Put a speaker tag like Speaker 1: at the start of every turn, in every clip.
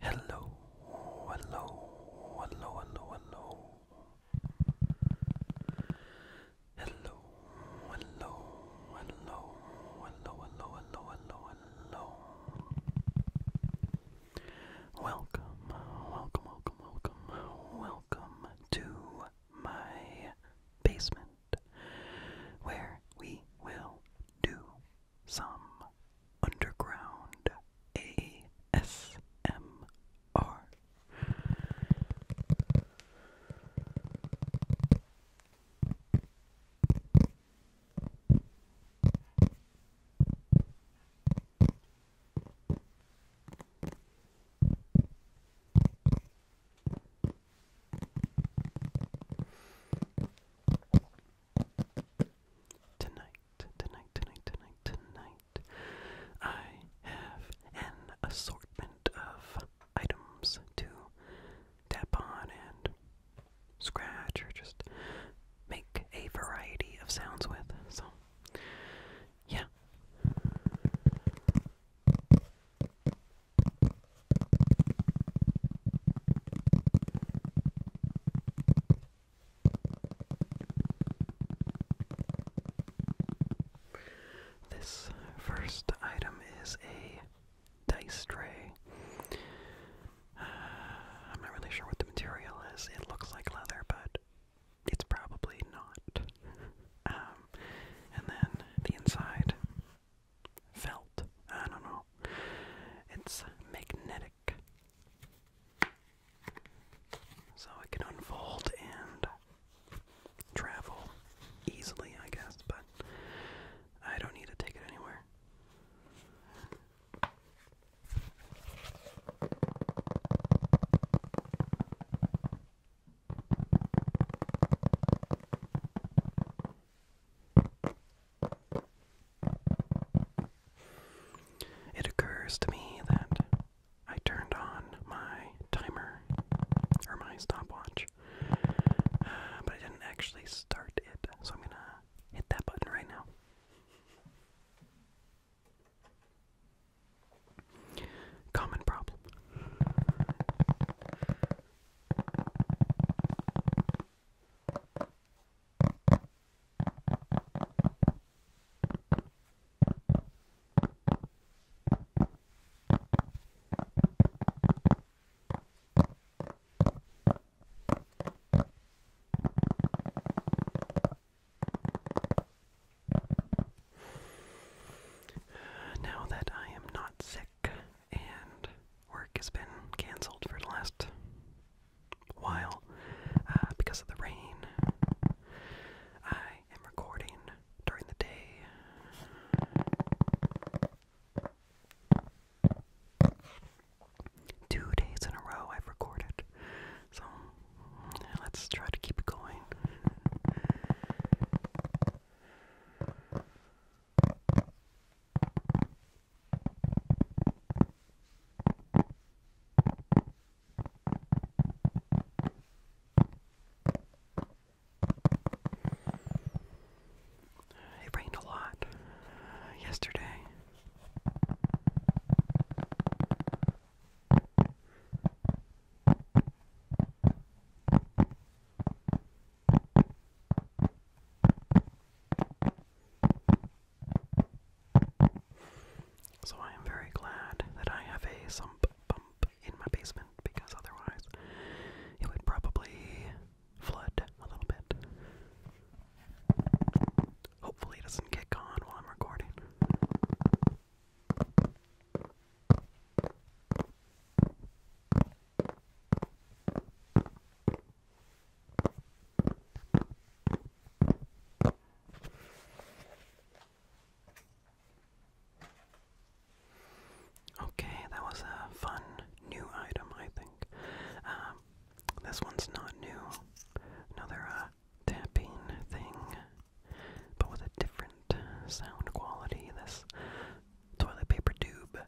Speaker 1: Hello, hello, hello, hello, hello. Hello, hello, hello, hello, hello, hello, hello, Welcome, welcome, welcome, welcome, welcome to my basement where we will do some underground ASMR. Tonight, tonight, tonight, tonight, tonight, I have an assortment of items to tap on and scratch or just make a variety of sounds with. So, yeah. This first item is a dice tray. Uh, I'm not really sure what the material is. It looks like leather, but it's probably not. Um, and then the inside felt. I don't know. It's magnetic. So it can unfold and travel easily, I guess, but I don't need to take it anywhere. It occurs to me that I turned on my timer or my stopwatch, uh, but I didn't actually start it, so I'm gonna hit that button right now. Common problem. Now that I am not sick, and work has been cancelled for the last while uh, because of the rain. I am recording during the day. Two days in a row I've recorded, so let's try to keep it going. It rained a lot uh, yesterday. So I am very glad that I have a sump pump in my basement because otherwise it would probably flood a little bit. Hopefully it doesn't kick on while I'm recording. Okay, that was a fun new item, I think. Um, this one's not new. Another uh, thing, but with a different sound quality. This toilet paper tube.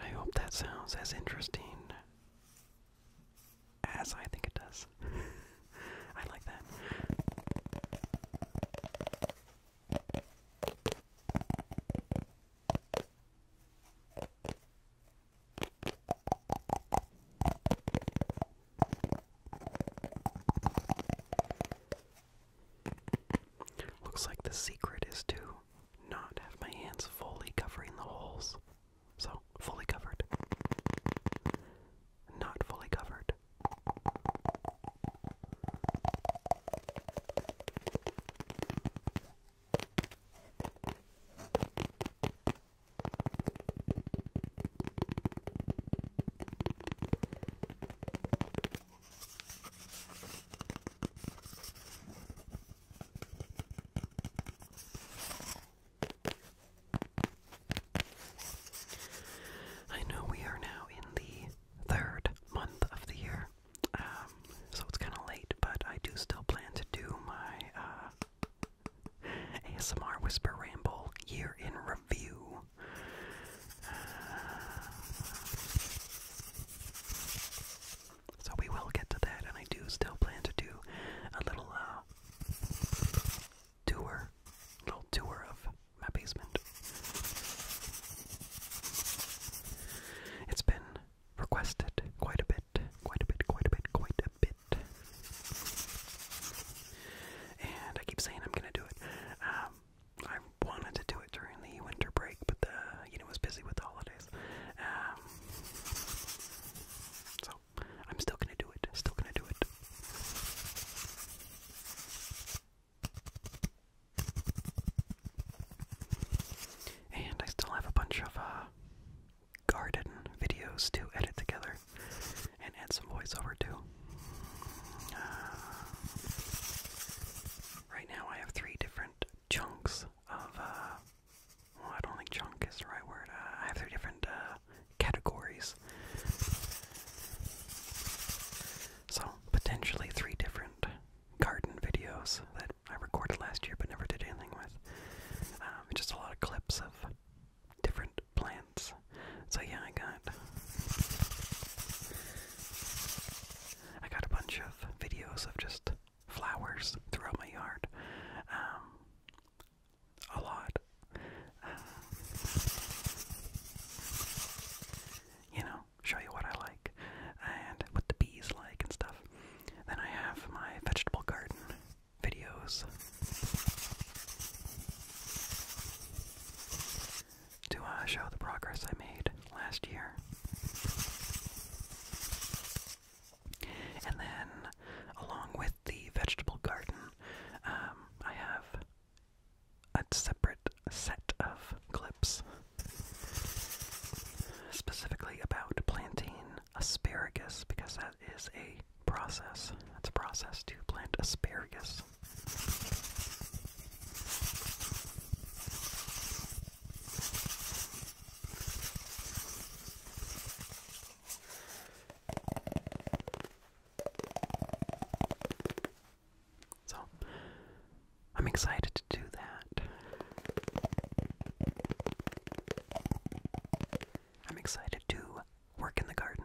Speaker 1: I hope that sounds as interesting as I think it does. I like that. Looks like the secret is to not have my hands fully covering the holes. So, fully covered. Not fully covered. I know we are now in the third month of the year, um, so it's kind of late, but I do still plan to do my uh, ASMR Whisper Ramble year in review. Uh, so we will get to that, and I do still plan to do a little uh, tour, little tour of my basement. It's been requested quite a bit, quite a bit, quite a bit, quite a bit. And I keep saying I'm gonna do it. Um, I wanted to do it during the winter break, but the you was busy with holidays. Um, so I'm still gonna do it. Still gonna do it. And I still have a bunch of uh, garden videos to edit together and add some voiceover to. Uh, right now, I have three different chunks of uh, I don't think chunk is the right word. Uh, I have three different uh, categories. So, potentially three different garden videos that I recorded last year but never did anything with. Um, just a lot of clips of different plants. So yeah, I got I got a bunch of videos of just flowers throughout my yard. Um, a lot. Uh, you know, show you what I like and what the bees like and stuff. Then I have my vegetable garden videos. To uh, show the progress I made last year. And then, along with the vegetable garden, um, I have a separate set of clips specifically about planting asparagus because that is a process. It's a process to plant asparagus. So, I'm excited to do that. I'm excited to work in the garden.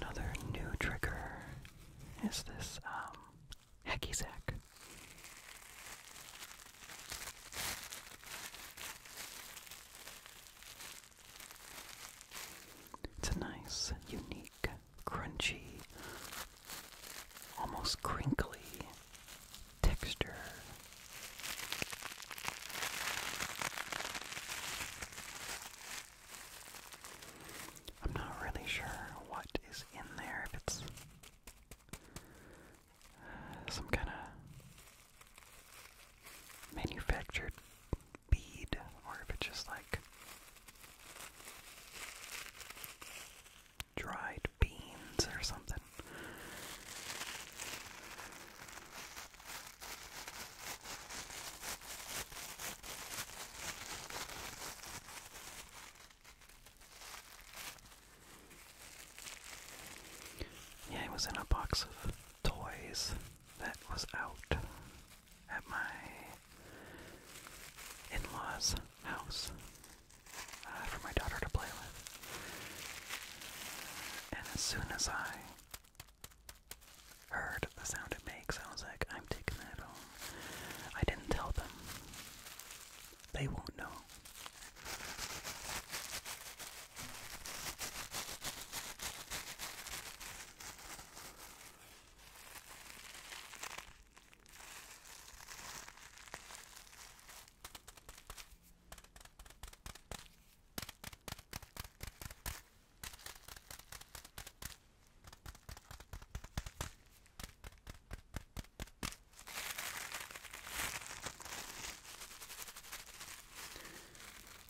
Speaker 1: Another new trigger is this um, Hacky sack. It's a nice, unique, crunchy, almost crinkly texture. I'm not really sure what is in there, if it's some kind of manufactured bead, or if it's just like dried beans or something. Yeah, it was in a box of toys that was out at my in law's house uh, for my daughter to play with. And as soon as I heard the sound it makes, I was like, I'm taking that home. I didn't tell them. They won't know.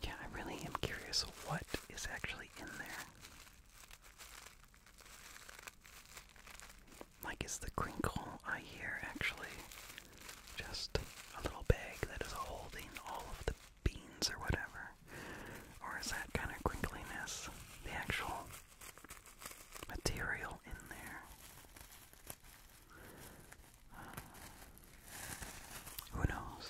Speaker 1: Yeah, I really am curious what is actually in there. Like, is the crinkle I hear actually just a little bag that is holding all of the beans or whatever? or or is that kind of crinkliness the actual material in there? Um, who knows?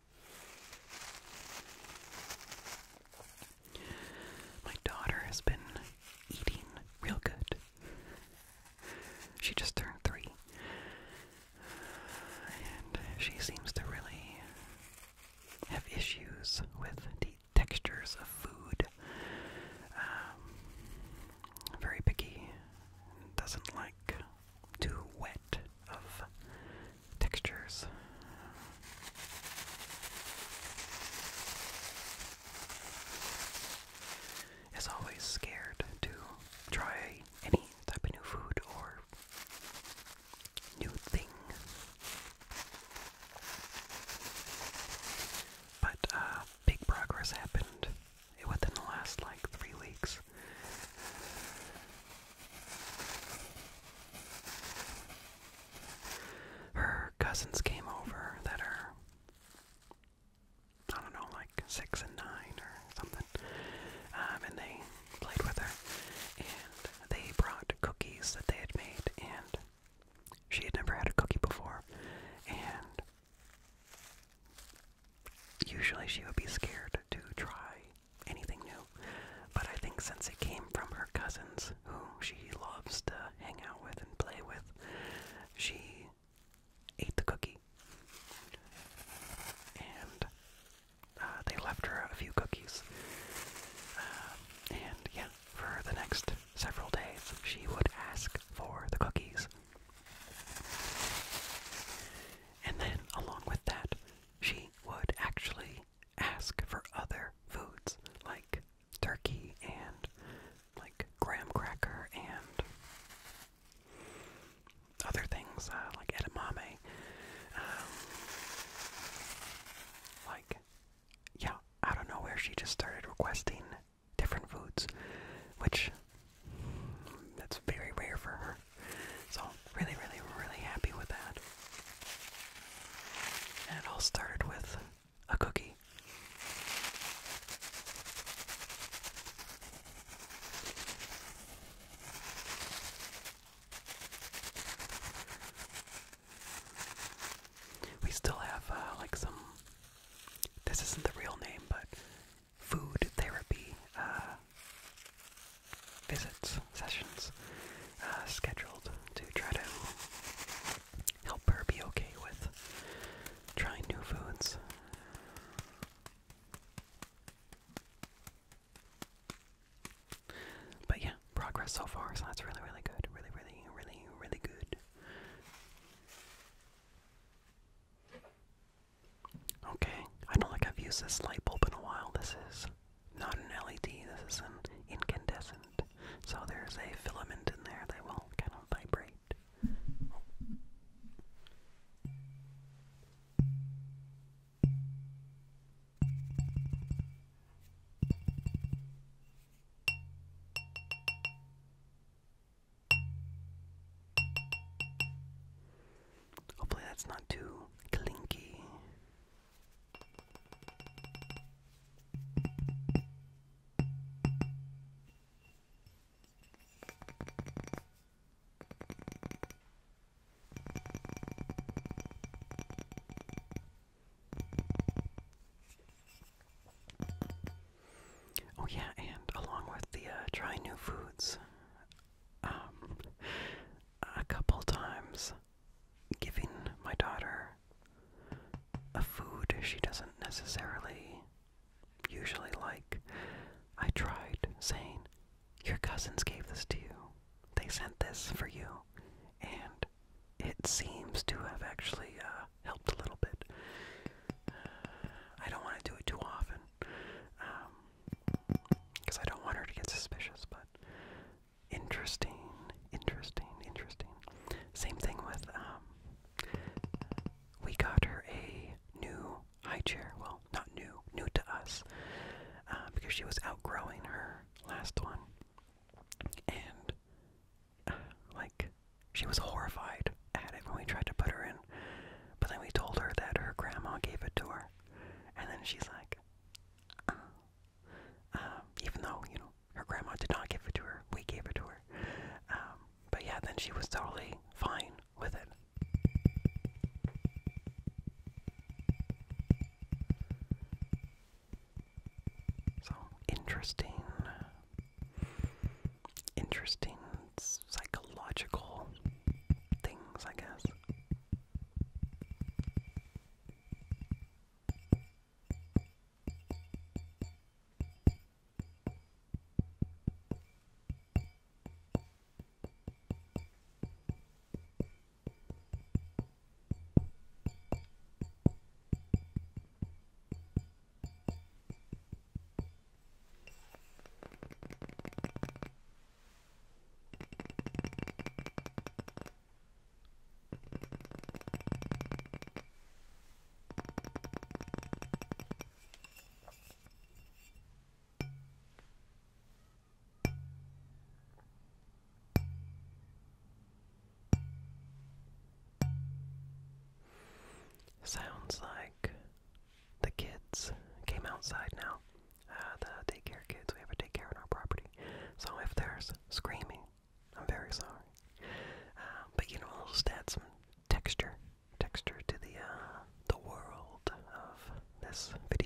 Speaker 1: My daughter has been eating real good. She just turned three. And she seems to really have issues with the textures of food. Um, very picky. Doesn't like too wet of textures. Is always scared to try any type of new food or new thing. But uh, big progress happened within the last like three weeks. Her cousins came over that are, I don't know, like six and nine or something, um, and they played with her. And they brought cookies that they had made, and she had never had a cookie before. And Usually she would be scared to try anything new, but I think since it came from her cousins, who she loves to hang out with and play with, she ate the cookie. And uh, they left her a few cookies. Uh, and yeah, for the next several days, she would ask for the cookies. And then, along with that, she would actually ask for other foods like turkey and like graham cracker and other things uh, like edamame. Um, like, yeah, out of nowhere she just started requesting different foods, which mm, that's very rare for her there. So, really, really, really happy with that. And it all started with a cookie. We still have uh, like some. This isn't the real name, but food therapy uh, visits, sessions uh, scheduled to try to help her be okay with trying new foods. But yeah, progress so far, so that's really, really good. Really, really, really, really good. Okay, I don't think I've used this light bulb in a while. This is not an LED, this is an incandescent. So there's a filament in there that will kind of vibrate. Hopefully that's not too clinky. Oh yeah, and along with the uh, try new foods, um, a couple times giving my daughter a food she doesn't necessarily usually like. I tried saying, Your cousins gave this to you. They sent this for you. And it seems to have actually uh, helped a little bit. I don't want to do it too often. Um, because I don't want her to get suspicious, but interesting, interesting, interesting. Same thing with, um, we got her a new high chair. Well, not new, new to us, uh, because she was outgrowing her last one. And, like, she was horrified at it when we tried to put her in. But then we told her that her grandma gave it to her. And then she's like, oh, um, even though, you know, her grandma did not give it to her, we gave it to her. Um, but yeah, then she was totally fine with it. So interesting, interesting psychological things, I guess. Sounds like the kids came outside now uh, the daycare kids. We have a daycare on our property. So if there's screaming, I'm very sorry. Uh, but you know, I'll add some texture, texture to the uh, the world of this video.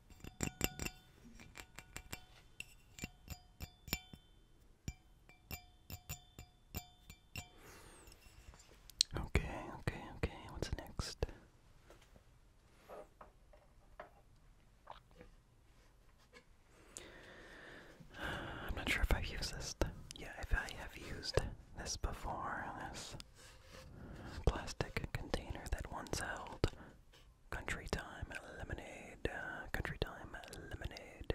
Speaker 1: Okay, okay, okay. What's next? I'm not sure if I've used this. Yeah, if I have used this before, this plastic container that once held Country time lemonade. Uh, country time lemonade.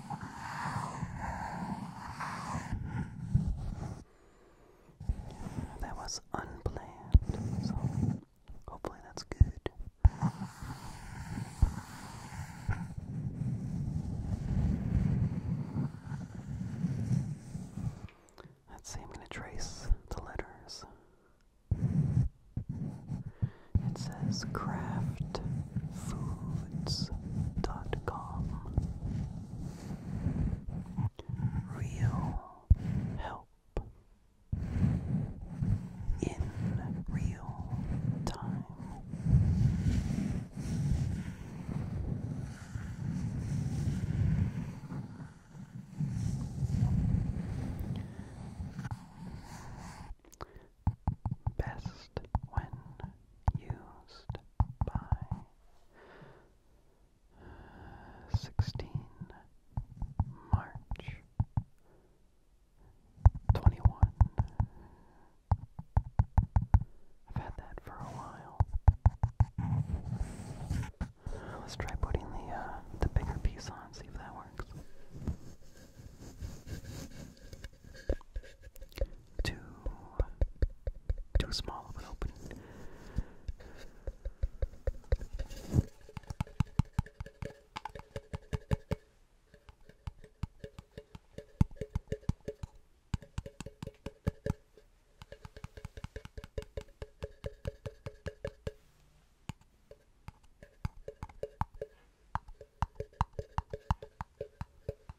Speaker 1: That was unplanned, so hopefully that's good. Let's see, I'm going to trace the letters. It says craftfoods.com real help in real time. Best when used by sixteen March twenty one. I've had that for a while. Let's try putting the uh, the bigger piece on, see if that works too too small of an opening.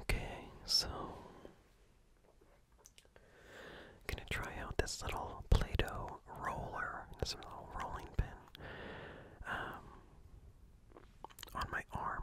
Speaker 1: Okay, so I'm gonna try out this little Play-Doh roller, this little rolling pin, um, on my arm.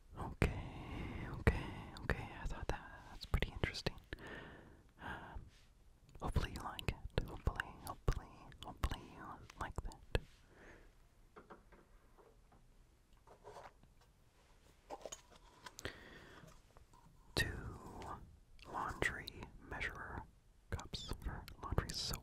Speaker 1: Okay, okay, okay. I thought that that's pretty interesting. Um, hopefully you like it. Hopefully, hopefully, hopefully you like that. Two laundry measurer cups for laundry soap.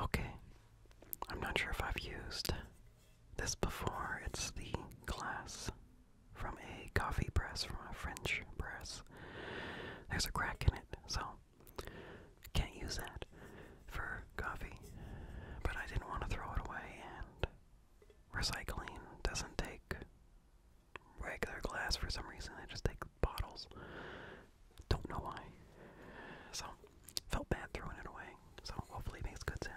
Speaker 1: Okay, I'm not sure if I've used this before. It's the glass from a coffee press, from a French press. There's a crack in it, so can't use that for coffee. But I didn't want to throw it away, and recycling doesn't take regular glass for some reason, they just take bottles. Don't know why. So, felt bad throwing it away. So, hopefully, it makes good sounds.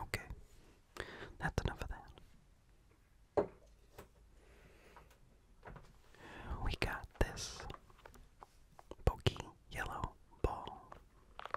Speaker 1: Okay, that's enough of that. We got this pokey yellow ball.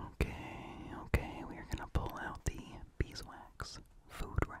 Speaker 1: Okay, okay, we are going to pull out the beeswax food wrap.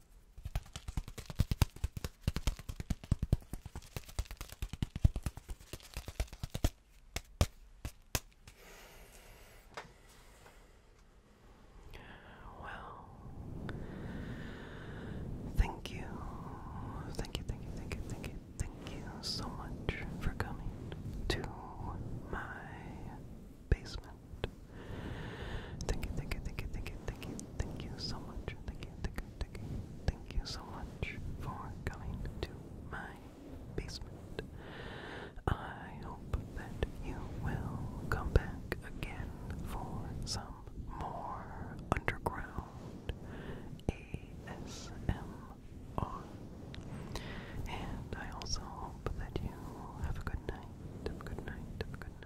Speaker 1: Well, thank you, thank you, thank you, thank you, thank you, thank you so much for coming to my basement. Thank you, thank you, thank you, thank you, thank you, thank you so much. Thank you, thank you, thank you, thank you so much for coming to my basement. I hope that you will come back again for some more underground ASMR. And I also hope that you have a good night. Have a good night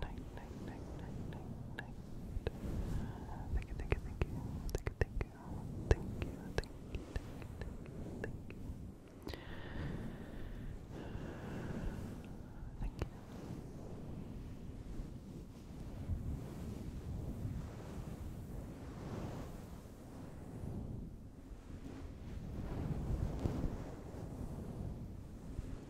Speaker 1: night, night, night, night, night, night. Thank you, thank you, thank you, thank you, thank you, thank you, thank you, thank you, thank you. Thank you. Thank